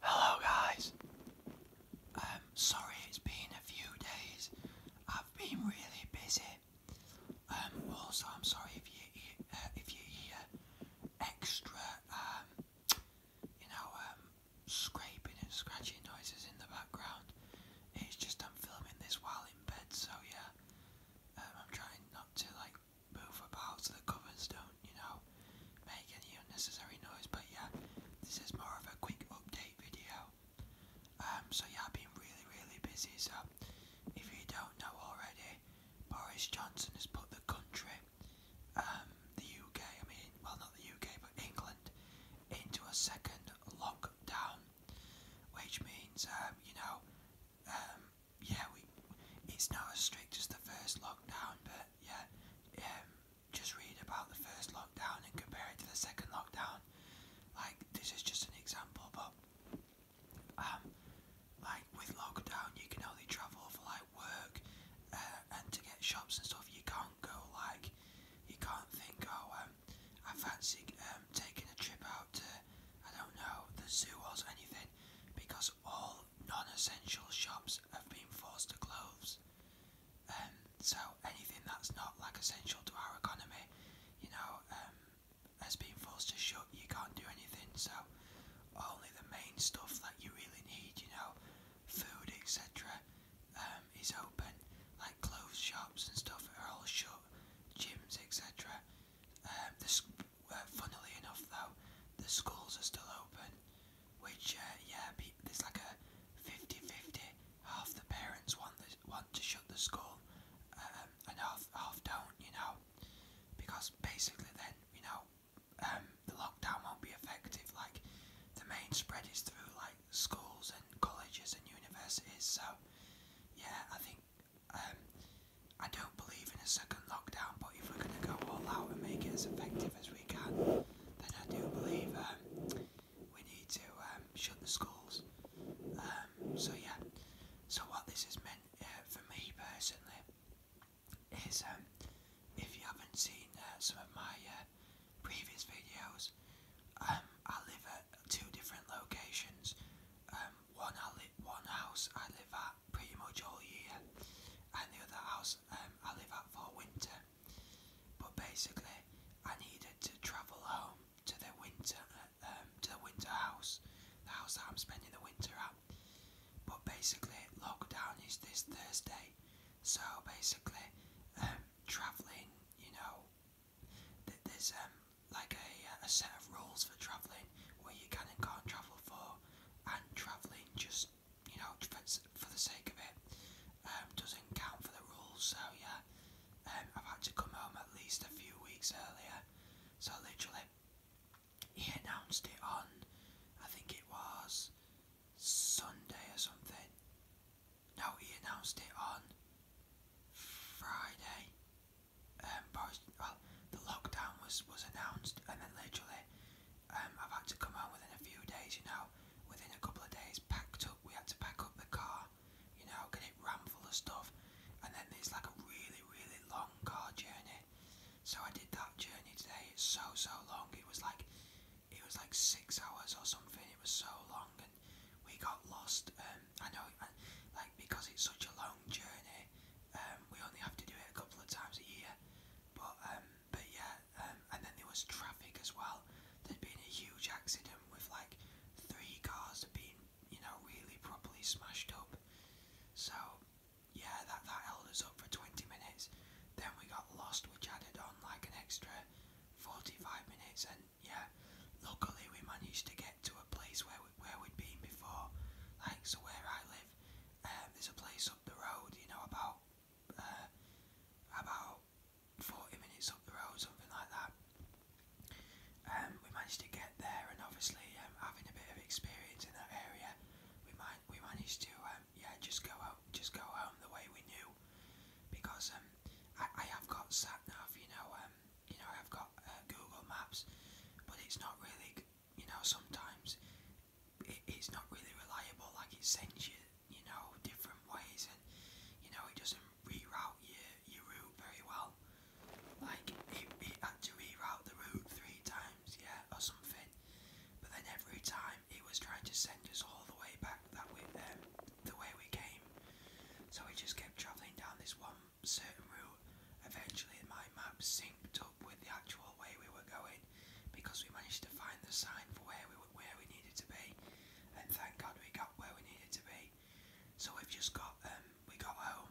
Hello guys. i um, sorry it's been a few days. I've been really busy. Um, also, I'm sorry if you hear, uh, uh, extra, um, you know, scraping and scratching noises in the background. It's just I'm filming this while in bed, so yeah. I'm trying not to like like move about so the covers don't, you know, make any unnecessary noise. But yeah, this is more of a quick update video. Um, so yeah, I've been really, really busy. So if you don't know already, Boris Johnson has put the country, um, the UK, I mean, well, not the UK, but England, into a second lockdown, which means, um, you know, um, yeah, we it's not as strict as the first lockdown, but yeah, um, just read about the first lockdown and compare it to the second lockdown. Like this is just an example, but um, like with lockdown, you can only travel for like work uh, and to get shops and stuff. You can't go like you can't think. Oh, um, I fancy um, taking a trip out to, I don't know, the zoo or anything because all non essential shops have been forced to close. Um, so anything that's not like essential to our economy, you know, um, has been forced to shut. You can't do anything. So only the main stuff that you really need, you know, food, etc., um, is open. Like clothes shops and stuff are all shut, gyms, etc. Um, this, uh, funnily enough, though, the schools are still open, which uh, yeah, be, there's like a 50-50. Half the parents want the, want to shut the school, um, and half half don't, you know, because basically then you know um, the lockdown won't be effective. Like the main spread is through like schools and colleges and universities. So yeah, I think um, I don't believe in a second lockdown, but if we're going to go all out and make it as effective as we can, then I do believe um, we need to um, shut the schools. so, yeah, so what this has meant uh, for me personally is if you haven't seen uh, some of my uh, previous videos, um, I live two different locations. Um, one I li one house I live at pretty much all year, and the other house um, I live at for winter. But basically, I needed to travel home to the winter uh, um, to the winter house, the house that I'm spending the winter at. But basically, lockdown is this Thursday, so basically, um, traveling, you know, there's um, like a, uh, a set of rules for travelling, where you can and can't travel for, and travelling just, you know, for, for the sake of it, um, doesn't count for the rules. So yeah, um, I've had to come home at least a few weeks earlier. So literally, he announced it on, I think it was Sunday or something. No, he announced it on Friday. Um, well, the lockdown was was announced, and then literally, um, I've had to come home within a few days. You know, within a couple of days, packed up. We had to pack up the car. You know, get it rammed full of stuff, and then there's like a really really long car journey. So I did that journey today. It's so so long. It was like, it was like six hours or something. It was so long and we got lost. Um, I know, I, uh, like because it's such a long journey, um, we only have to do it a couple of times a year. But um, but yeah, um, and then there was traffic as well. There'd been a huge accident with like three cars being, you know, really properly smashed up. So yeah, that that held us up for 20 minutes. Then we got lost, which added on like an extra 45 minutes, and yeah. Luckily, we managed to get to a place where we, where we'd been before. Like so, where I live, um, there's a place up the road. You know, about uh, about forty minutes up the road, something like that. Um, we managed to get there, and obviously, um, having a bit of experience in that area, we might we managed to um, yeah just go out just go home the way we knew because um, I, have got sat nav, you know, um, you know I've got uh, Google Maps, but it's not really you know sometimes it's not really reliable. Like it sends you you know different ways, and you know it doesn't reroute your your route very well. Like it, it had to reroute the route three times, yeah, or something. But then every time it was trying to send us all the way back that way there. Um, the way we came. So we just kept travelling down this one certain route. Eventually, my map synced up with the actual way we were going because we managed to find the sign for where we were, where we needed to be. And thank God we got where we needed to be. So we've just got um we got home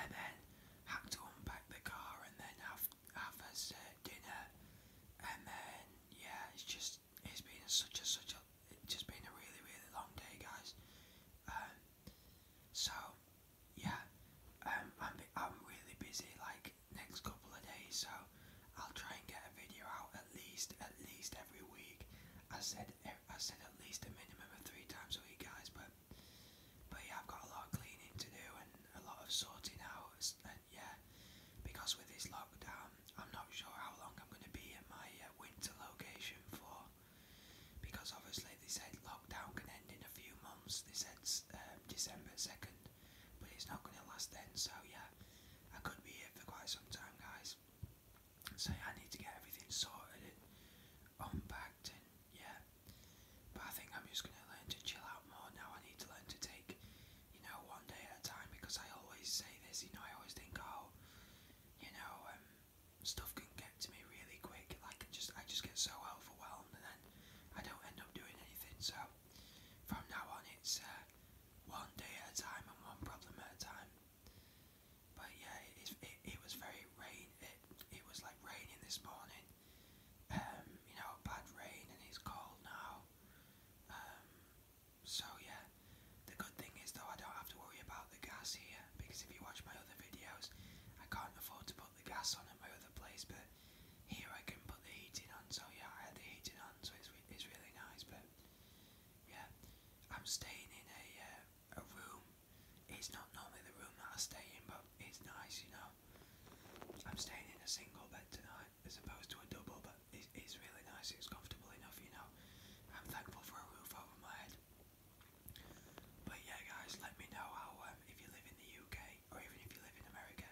and then had to unpack the car and then have have us uh, dinner and then yeah it's just it's been such a such a it's just been a really really long day, guys. Um, so yeah, um, I'm I'm really busy like next couple of days, so I'll try and get a video out at least at least every week. I said I said at least a minimum of three times a week, guys, but but yeah, I've got a lot of cleaning to do and a lot of sorting out yeah, because with this lockdown, I'm not sure how long I'm going to be in my uh, winter location for. Because obviously, they said lockdown can end in a few months, they said um, December 2nd, but it's not going to last then, so yeah, I could be here for quite some time, guys. So, yeah, I need to get everything sorted and unpacked, and yeah, but I think I'm just going to learn to chill out more now. I need to learn to take you know, one day at a time because I always say this, you know, I always think, oh, you know, um, stuff can get to me really quick, like I just, I just get so overwhelmed and then I don't end up doing anything, so from now on it's uh, one day at a time and one problem at a time. But yeah, it, it, it was very rain, it, it was like raining this morning, um, you know, bad rain and it's cold now. Um, so yeah, the good thing is though I don't have to worry about the gas here because if you watch my other videos, I can't afford to put the gas on at my other place, but here I can put the heating on. So yeah, I had the heating on, so it's it's really nice. But yeah, I'm staying in a uh, a room. It's not normally the room that I stay in, but it's nice, you know. I'm staying in a single bed tonight as opposed to a double, but it's, it's really nice. It's comfortable enough, you know. I'm thankful for a roof over my head. But yeah, guys, let me know how um, if you live in the UK or even if you live in America,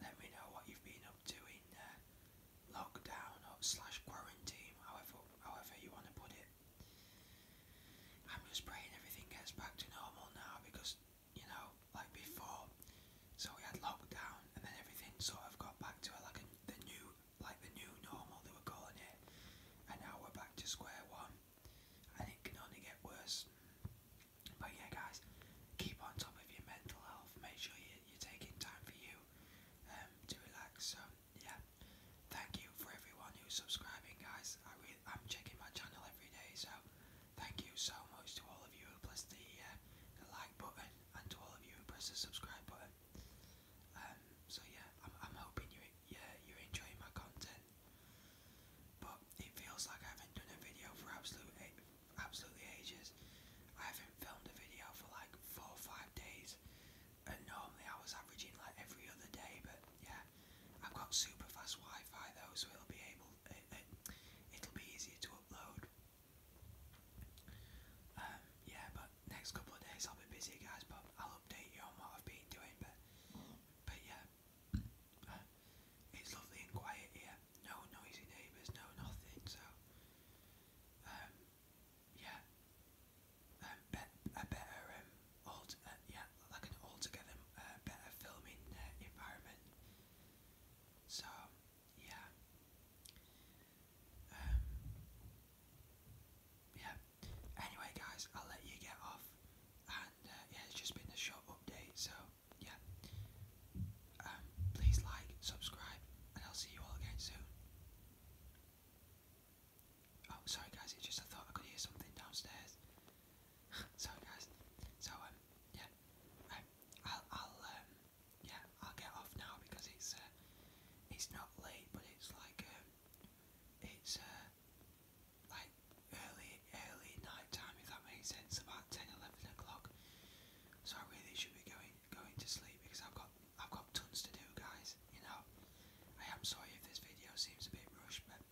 let me know what you've been up to in uh, lockdown slash quarantine, however however you want to put it. I'm just praying everything gets back to normal now because you know, like before. So we had lockdown, and then everything sort of got back to like the new, like the new normal they were calling it. And now we're back to square one, and it can only get worse. But yeah, guys, keep on top of your mental health. Make sure you, are taking time for you um, to relax. So yeah, thank you for everyone who's subscribing, guys. I'm checking my channel every day, so. Thank you so much to all of you who press uh, the, like button and to all of you who press the subscribe button. Um, so yeah, I'm, hoping you yeah you're enjoying my content. But it feels like I haven't done a video for absolute absolutely ages. I haven't filmed a video for like four or five days, and normally I was averaging like every other day. But yeah, I've got super fast Wi-Fi though, so it'll be able it'll be easier to upload. Um, yeah, but next couple of days I'll be busy, guys. But I'll update you on what I've been doing. But but yeah, uh, it's lovely and quiet here. No noisy neighbours, no nothing. So um, yeah, um, a better um, uh, yeah uh, like an altogether uh, better filming uh, environment. So, yeah. Um, yeah. Anyway, guys, I'll let you get off. And uh, yeah, it's just been a short update. So, yeah. Um, please like, subscribe, and I'll see you all again soon. Oh, sorry, guys, it's just I thought I could hear something downstairs. Sorry guys. So um yeah, i I'll um yeah I'll get off now because it's uh, it's not late but it's like um it's uh like early early night time if that makes sense about 10 o'clock. So I really should be going going to sleep because I've got I've got tons to do guys. You know I am sorry if this video seems a bit rushed but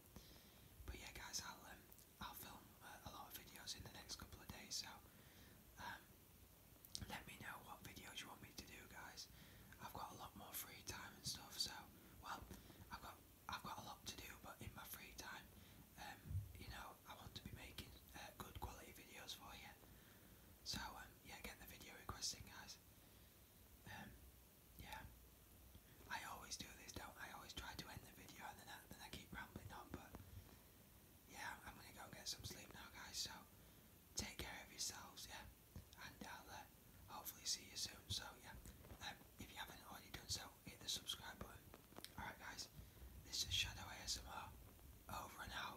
but yeah, guys, I'll um, I'll film uh, a lot of videos in the next couple of days. So um, let me know what videos you want me to do, guys. I've got a lot more free time and stuff. So well, I've got I've got a lot to do, but in my free time, um, you know, I want to be making uh, good quality videos for you. So um, yeah, get the video requesting, guys yeah, I always do this, don't I? always try to end the video and then I, keep rambling on, but yeah, I'm gonna go and get some sleep now, guys. So take care of yourselves, yeah, and uh, hopefully see you soon. So yeah, um, if you haven't already done so, hit the subscribe button. All right, guys, this is Shadow ASMR. Over and out.